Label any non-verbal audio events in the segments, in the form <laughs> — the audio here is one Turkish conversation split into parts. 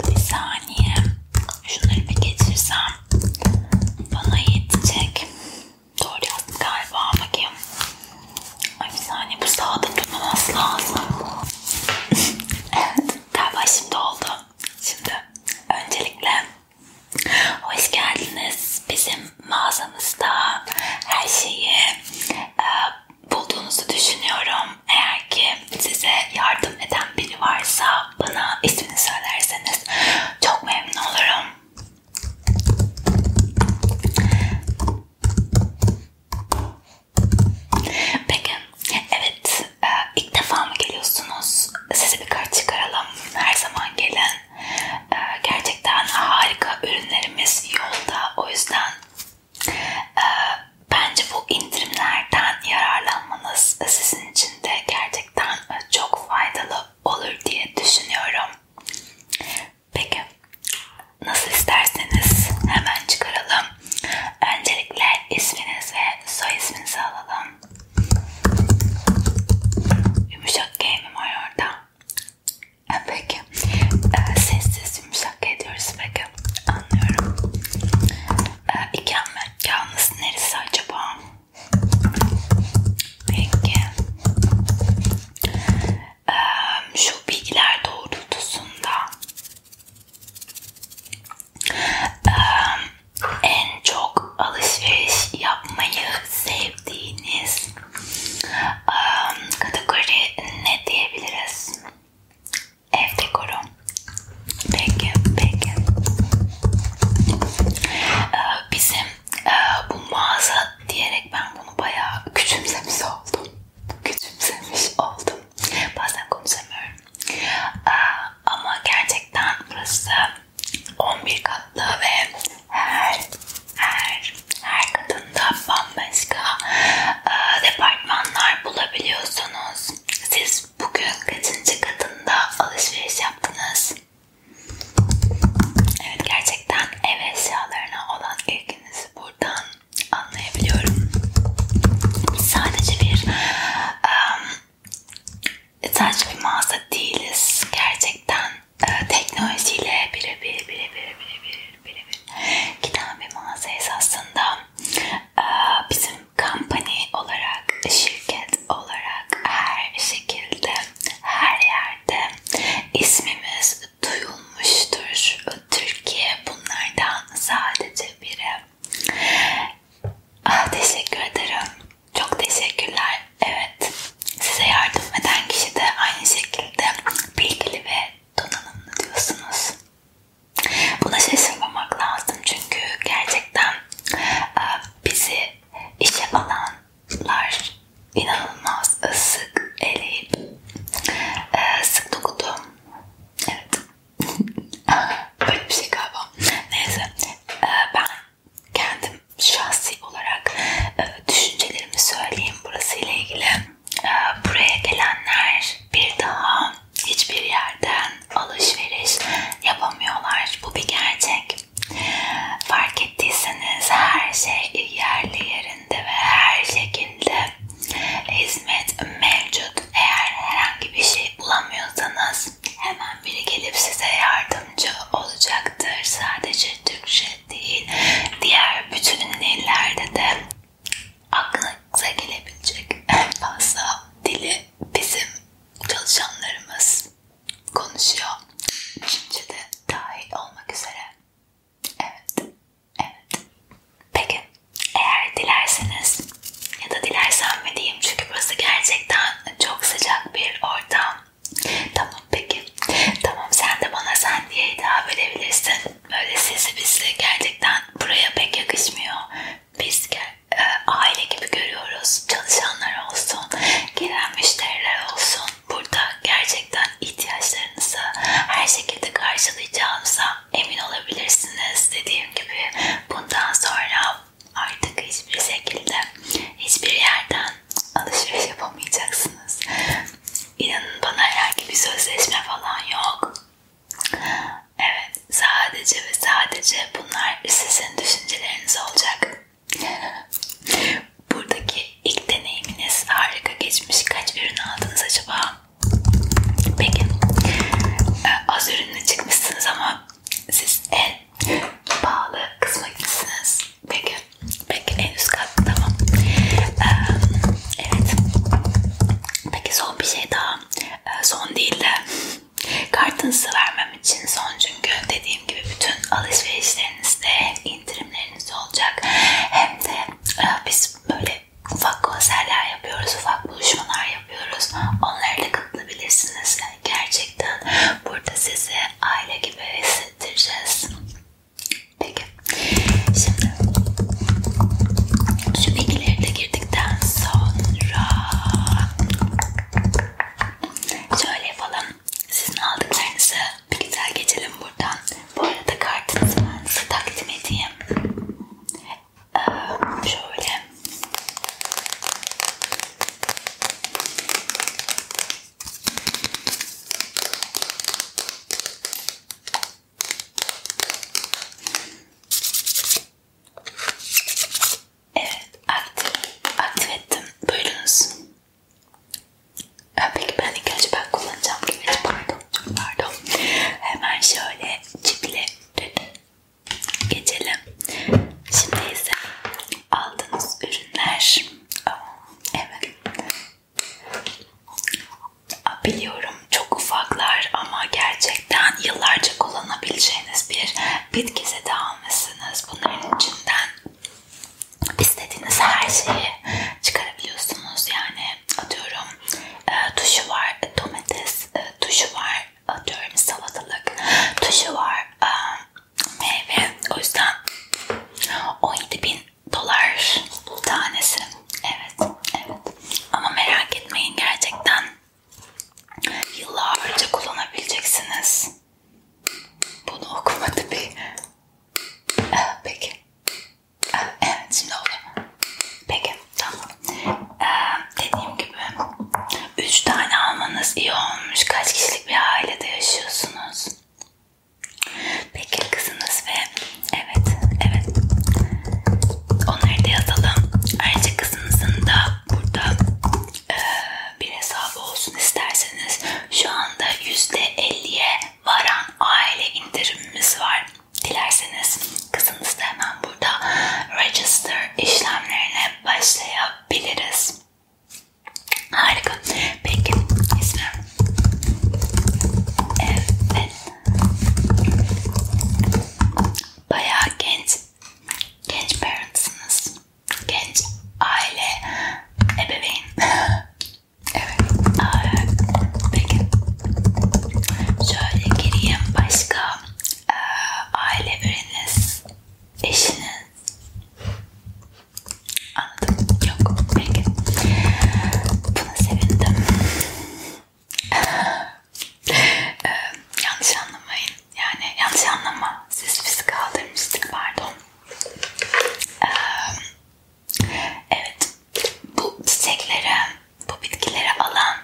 Bir saniye. Şunları bir geçirsem bana yetecek. Doğru yazdım galiba. Bakayım. Ay bir saniye bu sağda durmaması lazım. <laughs> evet. Galiba şimdi oldu. Şimdi öncelikle hoş geldiniz. Bizim mağazamızda her şeyi e, bulduğunuzu düşünüyorum. Eğer ki size yardım eden biri varsa bana ismini söylerseniz çok memnun olurum. Peki, evet e, ilk defa mı geliyorsunuz? Sizi birkaç çıkaralım. Her zaman gelin. Ee, gerçekten harika ürünlerimiz yolda. O yüzden e, bence bu indirimlerden yararlanmanız sizin için de gerçekten e, çok faydalı olur diye düşünüyorum. Peki nasıl isterseniz hemen çıkaralım. Öncelikle isminiz ve soy isminizi alalım. Yumuşak G mi var orada? Peki. E, ee, sessiz yumuşak ediyoruz peki. Anlıyorum. E, ee, iken mi? Yalnız neresi acaba? Peki. E, şu bilgiler doğrultusunda e, en çok alışveriş yapmayı sevdiğiniz Kategori ne diyebiliriz? Ev dekoru. Peki, peki. Ee, bizim e, bu mağaza diyerek ben bunu bayağı küçümsemiş oldum. Küçümsemiş oldum. Bazen konuşamıyorum. Ee, ama gerçekten burası 11 kat farklı ve her her her kadında bambaşka e, departmanlar bulabiliyorsunuz. Siz bugün kaçıncı kadında alışveriş yaptınız? Evet gerçekten ev eşyalarına olan ilginizi buradan anlayabiliyorum. Sadece bir um, sadece bir mağaza değiliz gerçekten teknolojiyle birebir birebir birebir birebir giden bir mağazayız aslında. Ee, bizim company olarak, şirket olarak her şekilde, her yerde ismimiz duyulmuştur. Türkiye bunlardan sadece biri. Ah, teşekkür ederim. Çok teşekkürler. Evet. Size yardım eden kişi de aynı şekilde bilgili ve donanımlı diyorsunuz. Buna şaşırmamak lazım çünkü gerçekten e, bizi işe alanlar inanılmaz e, sık eleyip sık dokudu. Evet. <laughs> Böyle bir şey galiba. Neyse e, ben kendim şahsi olarak e, düşüncelerimi söyleyeyim burası ile ilgili. E, buraya gelenler bir daha hiçbir yerden alışveriş yapamıyorlar. Bu bir gerçek. Fark ettiyseniz her şey yerli yerinde ve her şekilde hizmet mevcut. Eğer herhangi bir şey bulamıyorsanız hemen biri gelip size yardımcı olacaktır. Sadece Türkçe değil. Diğer bütün ünlülerde de aklınıza gelebilecek en fazla dili bizim çalışanlarımız konuşuyor. Şimdi de dahil olmak üzere. Evet, evet. Peki, eğer dilerseniz ya da dilersen mi diyeyim çünkü burası gerçekten çok sıcak bir ortam. Tamam peki. Tamam sen de bana sen diye hitap edebilirsin. Böyle sesi bizle gerçekten buraya pek yakışmıyor. Biz e, aile gibi görüyoruz. Çalışanlar olsun, gelen müşteriler olsun. Burada gerçekten ihtiyaçlarınızı her şekilde karşılayacağımıza emin olabilirsiniz. Dediğim gibi bundan sonra artık hiçbir şekilde hiçbir yerden alışveriş yapamayacaksınız. İnanın bana herhangi bir sözleşme falan yok. Evet, sadece ve sadece bunlar sizin düşünceleriniz olacak. Buradaki ilk deneyiminiz harika geçmiş. Kaç ürün aldınız acaba? Peki, e, az ürünle çıkmışsınız ama siz en pahalı kısma gitsiniz. Peki. Peki en üst kat tamam. Ee, evet. Peki son bir şey daha. Ee, son değil de kartınızı vermem için son çünkü dediğim gibi bütün alışverişlerinizde indirimleriniz olacak. Hem de e, biz böyle ufak konserler yapıyoruz, ufak buluşmalar yapıyoruz. Onlara da katılabilirsiniz. Yani gerçekten burada sizi aile gibi ve hissettireceğiz. Peki. Şimdi şu bilgileri de girdikten sonra şöyle yapalım. Sizin aldıklarınızı bir güzel geçelim buradan. Bu arada kartınızı ben size takdim edeyim. Ee, şöyle Evet, aktif, aktif ettim. Buyurunuz. Peki ben ilk önce ben kullanacağım gibi. Pardon, çok pardon. Hemen şöyle ciple geçelim. Şimdi ise aldığınız ürünler Ah, evet. Ah, biliyorum çok ufaklar ama gerçekten yıllarca kullanabileceğiniz bir bitki seti almışsınız. Bunların içinden istediğiniz her şeyi çıkarabiliyorsunuz. Yani atıyorum e, tuşu var, domates e, tuşu var, atıyorum salatalık tuşu var, e, meyve. O yüzden 17 bin dolar tanesi. Evet, evet. Ama merak etmeyin gerçekten yıllarca kullanabileceksiniz. Bunu okumadı bir. Ee, peki. Ee, evet şimdi oldu. Peki tamam. Ee, dediğim gibi 3 tane almanız iyi olmuş. Kaç kişi kişilik bir ailede yaşıyorsunuz. Peki kızınız ve evet evet onları da yazalım. Ayrıca kızınızın da burada e, bir hesabı olsun isterseniz şu anda %50'ye varan aile indirimimiz var. Dilerseniz kızınız da hemen burada register işlemlerine başlayabiliriz. Harika. Peki ismim. Evet. Bayağı genç. Genç parentsınız. Genç aile ebeveyn. <laughs> evet. Aa, evet. Peki. Şöyle gireyim. Başka e, aile biriniz, eşiniz, Anladım. Yok. Peki. Buna sevindim. <laughs> ee, yanlış anlamayın. Yani yanlış anlama. Siz bizi kaldırmıştık. Pardon. Ee, evet. Bu çiçeklere, bu bitkileri alan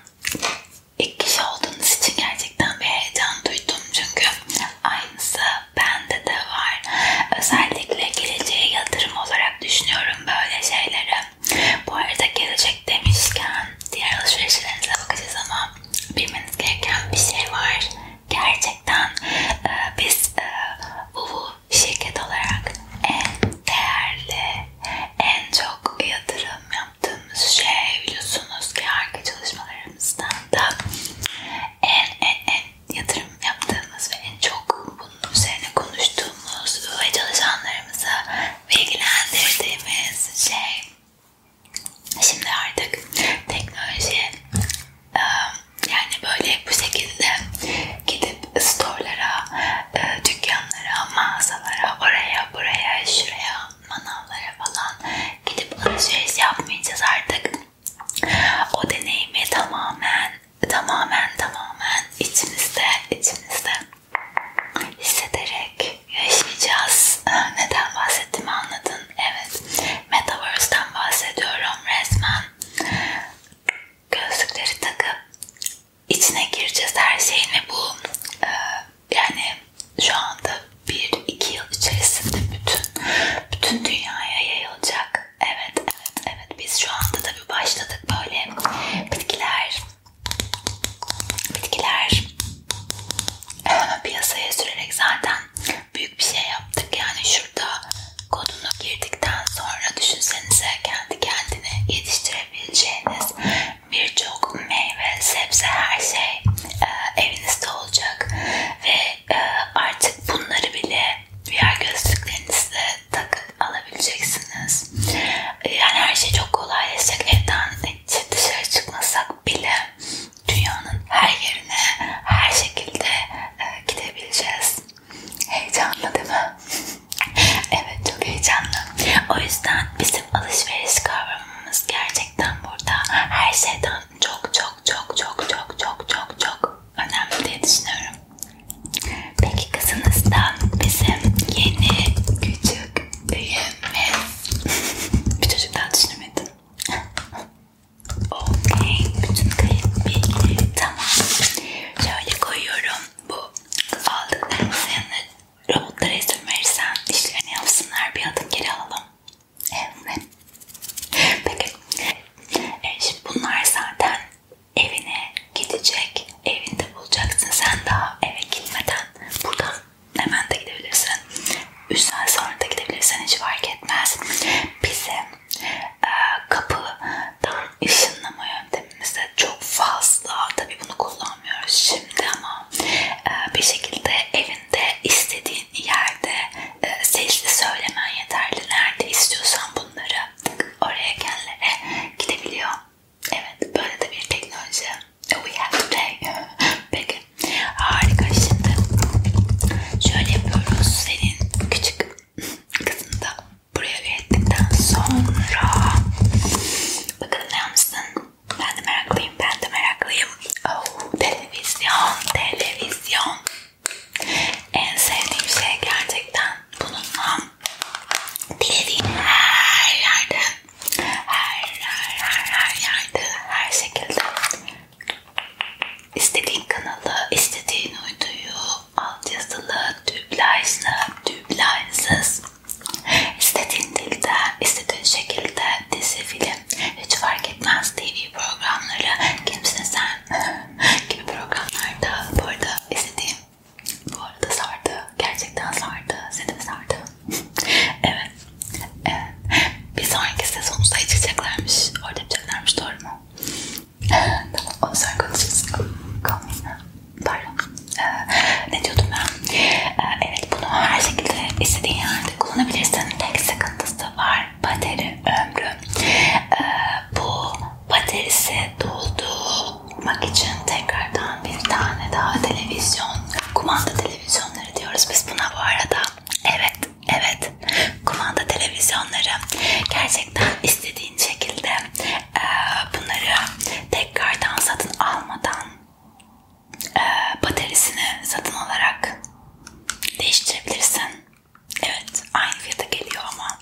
ilk kişi olduğunuz için gerçekten bir heyecan duydum. Çünkü aynısı bende de var. Özellikle geleceğe yatırım olarak düşünüyorum böyle şeyleri. Bu arada gelecek demişken diğer alışverişlerinize bakacağız ama bilmeniz gereken bir şey var. Gerçekten e, biz e, bu şirket olarak en değerli, en çok yatırım yaptığımız şey biliyorsunuz ki arka çalışmalarımızdan da en en en yatırım yaptığımız ve en çok bunun üzerine konuştuğumuz ve çalışanlarımızı bilgilendirdiğimiz şey. Şimdi artık teknoloji e, yani böyle bu şekilde gidip storelara, e, dükkanlara, mağazalara, oraya, buraya, şuraya manavlara falan gidip alışveriş yapmayacağız artık. O deneyimi tamamen, tamamen, tamamen içimizde, içimizde hissederek yaşayacağız. Neden bahsettiğimi anladın. Evet, Metaverse'den bahsediyorum resmen. Gözlükleri takıp içine gireceğiz her şeyin ve bu e, yani şu anda bir iki yıl içerisinde bütün bütün dünyaya yayılacak. Evet, evet, evet. Biz şu anda tabii başladık böyle bitkiler bitkiler <laughs> piyasaya sürerek zaten büyük bir şey yaptık. Yani şurada kodunu girdikten sonra düşünsenize kendi kendine yetiştirebileceğiniz birçok meyve, sebze her şey e, evinizde olacak ve e, artık bunları bile VR gözlüklerinizde takıp alabileceksiniz. E, yani her şey çok kolaylaşacak. Evden dışarı çıkmasak bile dünyanın her yerine her şekilde e, gidebileceğiz. Heyecanlı değil mi? <laughs> evet çok heyecanlı. O yüzden bizim alışveriş kavramımız gerçekten burada her şeyden çok çok çok çok çok çok çok çok önemli diye düşünüyorum. Peki kızınızdan bizim yeni küçük büyüğümüz <laughs> bir çocuktan düşünemedin. <laughs> Okey. Bütün kayıt bilgi tamam. Şöyle koyuyorum. Bu aldığın insanı robotlara izin verirsen işlerini yapsınlar. Bir adım geri alalım. Evet. Peki. E şimdi bunlar zaten evine gidecek. Evinde bulacaksın. Sen daha eve gitmeden buradan hemen de gidebilirsin. 3 saat sonra da gidebilirsin. Hiç fark etmez. Bizim e, kapıdan ışınlama yöntemimizde çok fazla tabi bunu kullanmıyoruz şimdi ama e, bir şekilde evinde istediğin yerde e, sesli söylemen yeterli. Nerede istiyorsan bunları oraya kendilere gidebiliyor. Evet böyle de bir teknoloji. We have today. Peki harika şimdi. Şöyle yapıyoruz senin küçük kızını da buraya geldikten sonra bakalım ne yapmışsın? Ben de meraklıyım, ben de meraklıyım. Oh, televizyon, televizyon. En sevdiğim şey gerçekten bununla um, dilediğin her yerde, her her her her yerde, her şekilde istediğin kanalı, istediğin uyduyu, altyazılı, dublajlı, dublajsız, istediğin dilde, istediğin şekilde dizi, film, hiç fark etmez TV programları kimsin sen gibi programlarda bu arada izlediğim bu arada sardı gerçekten sardı seni mi sardı? <laughs> evet. evet bir sonraki sezonumuzda içeceklermiş orada içeceklermiş doğru mu? tamam onu sonra konuşuruz kalmayın pardon ee, ne diyordum ben? Ee, evet bunu her şekilde istediğin yerde kullanabilirsin. Tek sıkıntısı var bateri ömrü. Ee, bu baterisi doldurmak için tekrardan bir tane daha televizyon, kumanda televizyonları diyoruz biz buna bu arada. Evet, evet kumanda televizyonları gerçekten istediğin şekilde e, bunları tekrardan satın almadan e, ee, bataryasını satın alarak değiştirebilirsin. Evet aynı fiyata geliyor ama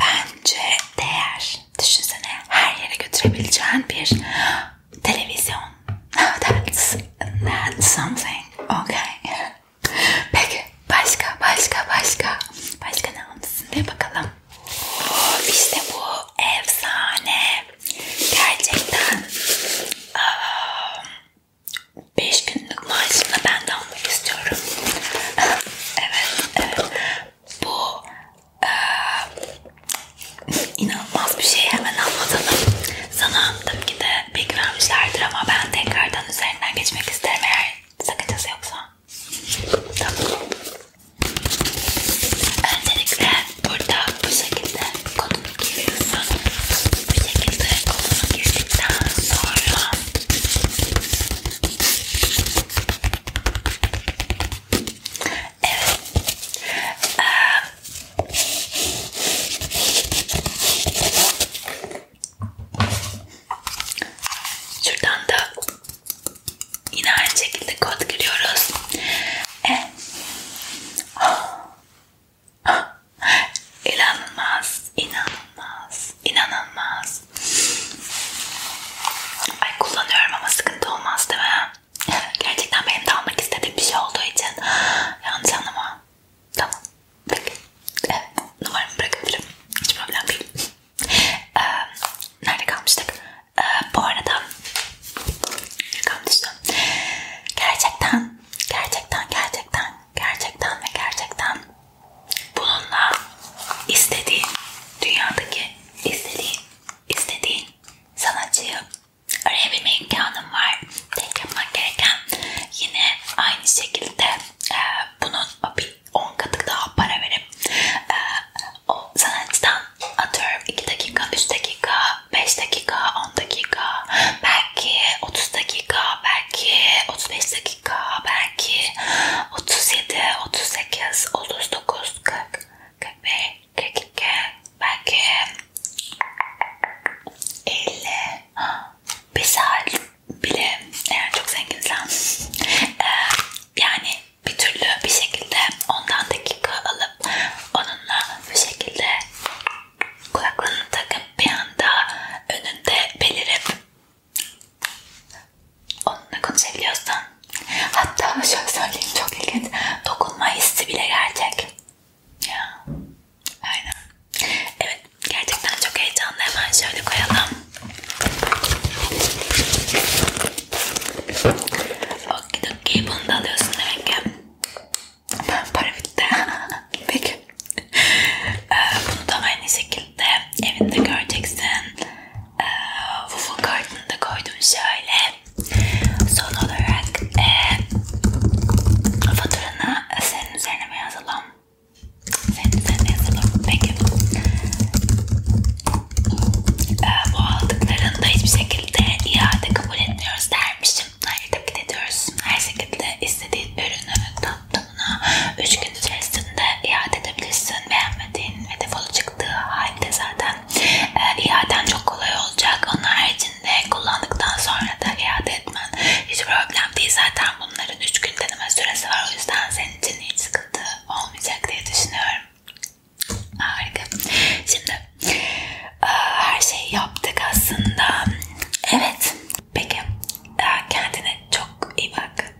bence değer. Düşünsene her yere götürebileceğin bir televizyon. Now <laughs> that's, that's something. Okay. <laughs> Peki başka başka başka. Başka ne almışsın diye bakalım. <gasps> İşte bu efsane. Gerçekten 5 günlük maaşımla ben de almak istiyorum. <laughs> evet, evet. Bu e, inanılmaz bir şey. Hemen anlatalım. Sanırım ki de bilgi vermişlerdir ama ben tekrardan üzerinden geçmek isterim eğer sakıncası yoksa. Tamam. Öncelikle burada bu şekilde kolunu giriyorsun. Bu şekilde kolunu girdikten sonra Evet. Ee, şuradan da yine aynı şekilde kod giriyoruz. Ee, İnanılmaz, inanılmaz, inanılmaz. Ay kullanıyorum ama sıkıntı olmaz değil mi? Gerçekten benim de almak istediğim bir şey olduğu için yanlış anlama. Tamam, peki. Evet, numaramı bırakabilirim. Hiç problem değil. Ee, nerede kalmıştık? Ee, bu arada şakam düştü. Gerçekten, gerçekten, gerçekten, gerçekten ve gerçekten bununla istediğin, dünyadaki istediğin, istediğin sanatçıyı öğrenebilme imkanım var. Tek yapmak gereken yine aynı şekilde e, bunun bir 10 katı daha para verip e, o sanatçıdan atıyorum 2 dakika, 3 dakika 5 dakika, 10 dakika, belki 30 dakika, belki 35 dakika, belki 37, 38, 39, 40, 41, 42, belki 50, bir saat bile eğer çok zenginsen ee, yani bir türlü bir şekilde ondan dakika alıp onu kulağınla bu şekilde kulaklarını takıp bir anda önünde belirip onunla konuşabiliyorsan hatta şöyle söyleyeyim çok ilginç dokunma hissi bile gerçek ya aynen evet gerçekten çok heyecanlı hemen şöyle koyalım okidoki bunu da alıyorsun demek ki Para bitti. <laughs> Peki. Ee, bunu da aynı şekilde evinde göreceksin. Waffle ee, kartını da koydum şöyle. Son olarak e, faturanı senin üzerine mi yazalım? Senin üzerine yazalım. Peki. Ee, bu aldıklarında hiçbir şekilde şekilde iade kabul etmiyoruz dermişim. Hayır tabii ki de diyoruz. Her şekilde istediğin ürünü tatlımına 3 gün içerisinde iade edebilirsin. Beğenmediğin ve defolu çıktığı halde zaten e, iaden çok kolay olacak. Onun haricinde kullandıktan sonra da iade etmen hiç problem değil. Zaten bunların 3 gün deneme süresi var. O yüzden senin için hiç sıkıntı olmayacak diye düşünüyorum. Harika. Şimdi e, her şeyi yaptık aslında. Evet. Peki. E, kendine çok iyi bak.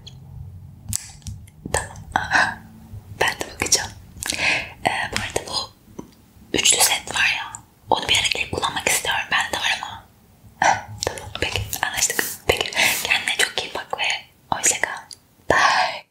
Tamam. Ben de bakacağım. E, bu arada bu üçlü set var ya. Onu bir ara kullanmak istiyorum. Ben de var ama. Tamam. Peki. Anlaştık. Peki. Kendine çok iyi bak ve hoşça kal. Bye.